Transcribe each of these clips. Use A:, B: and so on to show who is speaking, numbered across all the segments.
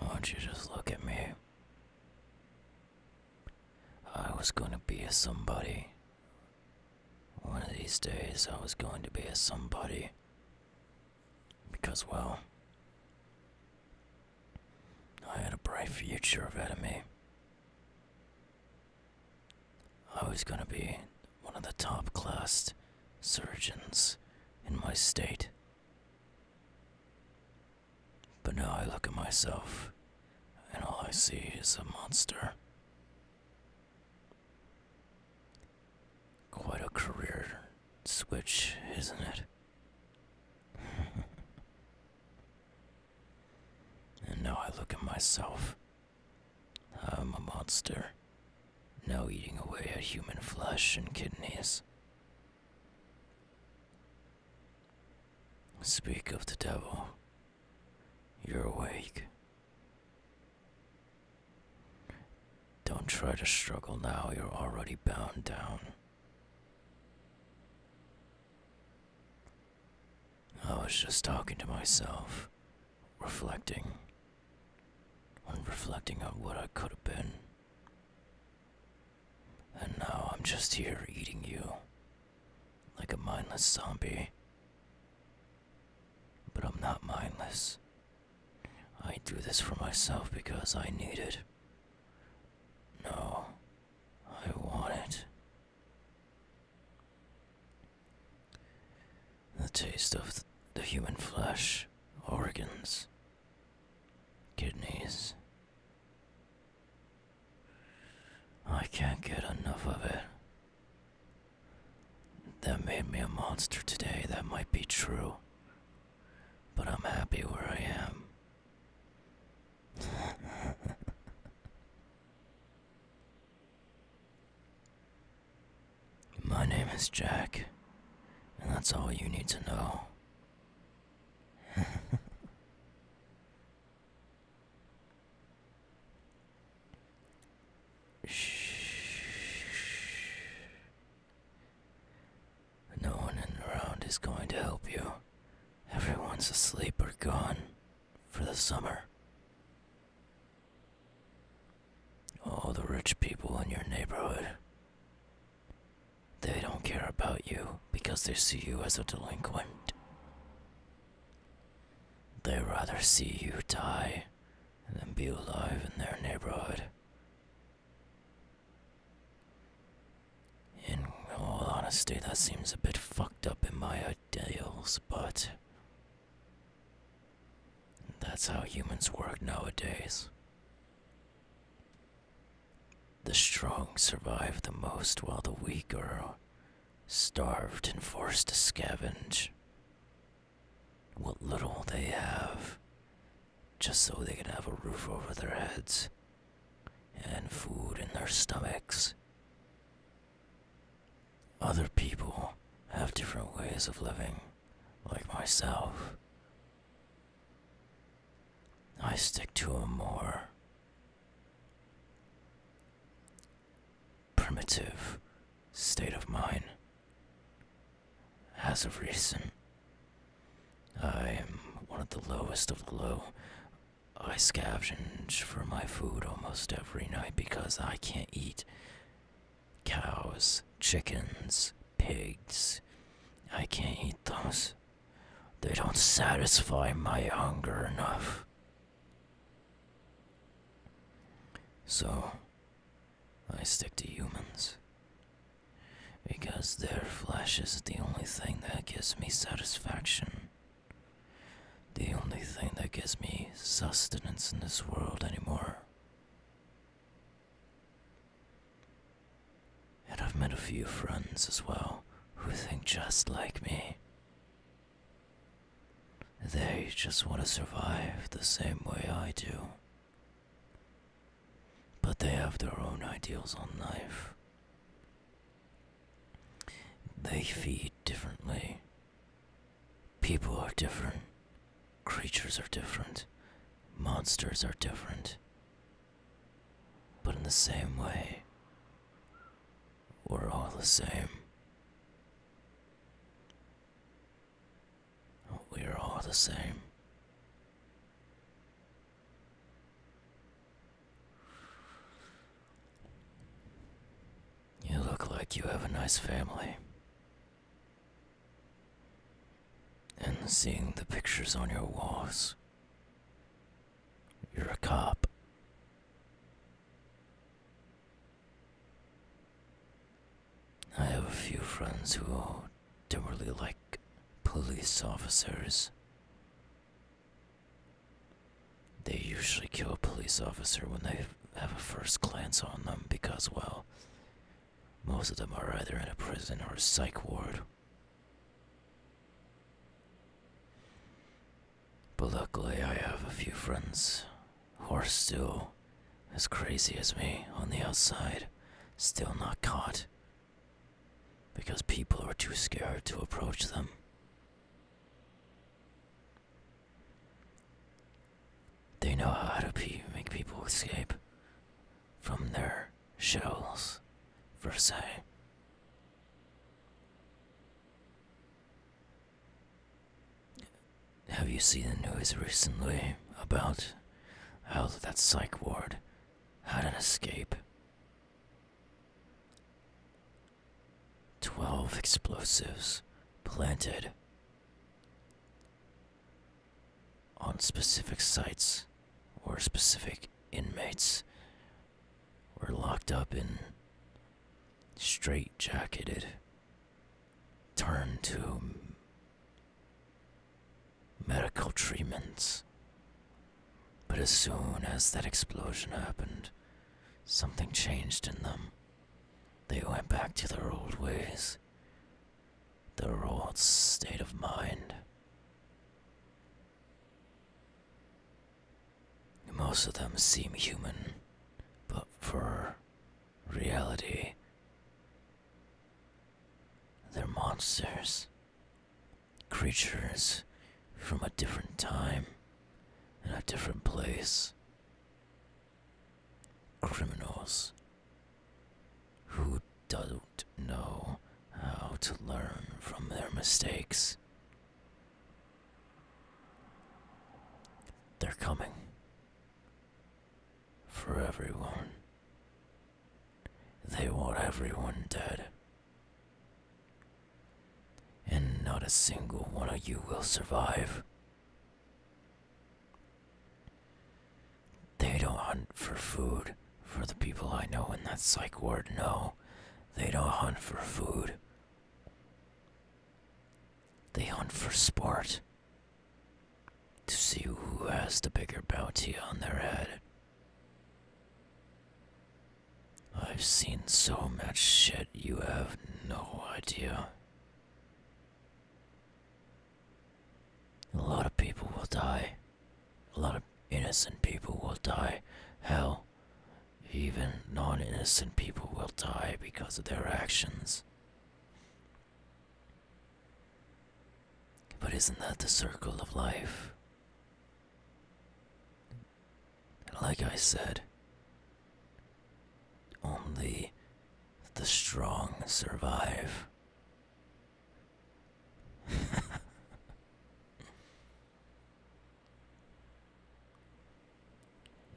A: Won't you just look at me? I was gonna be a somebody. One of these days I was going to be a somebody. Because, well, I had a bright future ahead of me. I was gonna be one of the top class surgeons in my state. But now I look at myself, and all I see is a monster. Quite a career switch, isn't it? and now I look at myself. I'm a monster, now eating away at human flesh and kidneys. Speak of the devil. You're awake. Don't try to struggle now, you're already bound down. I was just talking to myself, reflecting, and reflecting on what I could have been. And now I'm just here eating you, like a mindless zombie. But I'm not mindless. I do this for myself because I need it. No, I want it. The taste of the human flesh, organs, kidneys. I can't get enough of it. That made me a monster today, that might be true. But I'm happy where I am. My name is Jack, and that's all you need to know. No one in around is going to help you. Everyone's asleep or gone for the summer. All the rich people in your neighborhood. They don't care about you because they see you as a delinquent. They rather see you die than be alive in their neighborhood. In all honesty, that seems a bit fucked up in my ideals, but. That's how humans work nowadays. The strong survive the most while the weak are starved and forced to scavenge what little they have just so they can have a roof over their heads and food in their stomachs. Other people have different ways of living, like myself. I stick to a more primitive state of mind. As a reason. I am one of the lowest of the low. I scavenge for my food almost every night because I can't eat cows, chickens, pigs. I can't eat those. They don't satisfy my hunger enough. So, I stick to humans because their flesh is the only thing that gives me satisfaction. The only thing that gives me sustenance in this world anymore. And I've met a few friends as well who think just like me. They just want to survive the same way I do. But they have their own ideals on life. They feed differently. People are different. Creatures are different. Monsters are different. But in the same way, we're all the same. We are all the same. You look like you have a nice family. And seeing the pictures on your walls, you're a cop. I have a few friends who are. They were really like police officers. They usually kill a police officer when they have a first glance on them because, well, most of them are either in a prison or a psych ward. But luckily, I have a few friends who are still as crazy as me on the outside, still not caught because people are too scared to approach them. They know how to make people escape from their shells, per se. Have you seen the news recently about how oh, did that psych ward? had an escape? Twelve explosives planted on specific sites or specific inmates were locked up in straight jacketed turned to medical treatments. But as soon as that explosion happened, something changed in them. They went back to their old ways, their old state of mind. Most of them seem human, but for reality, they're monsters, creatures from a different time and a different place. Criminals who don't know how to learn from their mistakes. They're coming for everyone. They want everyone dead. And not a single one of you will survive. They don't hunt for food, for the people I know in that psych ward No, They don't hunt for food. They hunt for sport to see who has the bigger bounty on their head. I've seen so much shit you have no idea. A lot of people will die. A lot of innocent people will die. Hell, even non innocent people will die because of their actions. But isn't that the circle of life? like I said, only the strong survive.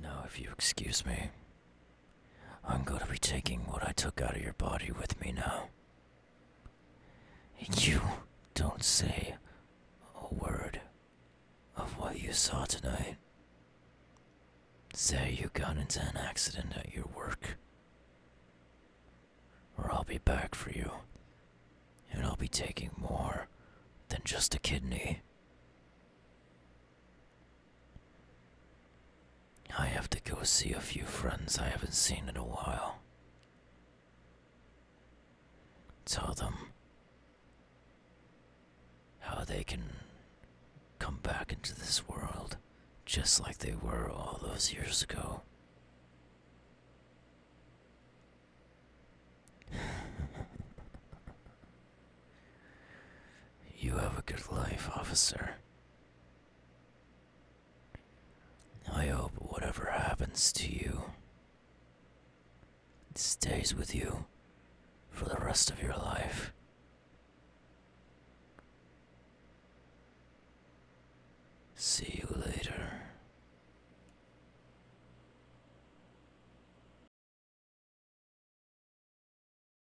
A: now, if you excuse me, I'm going to be taking what I took out of your body with me now. You don't say a word of what you saw tonight. Say you got into an accident at your work. Or I'll be back for you. And I'll be taking more than just a kidney. I have to go see a few friends I haven't seen in a while. Tell them how they can come back into this world just like they were all those years ago. you have a good life, officer. I hope whatever happens to you stays with you for the rest of your life. See you later.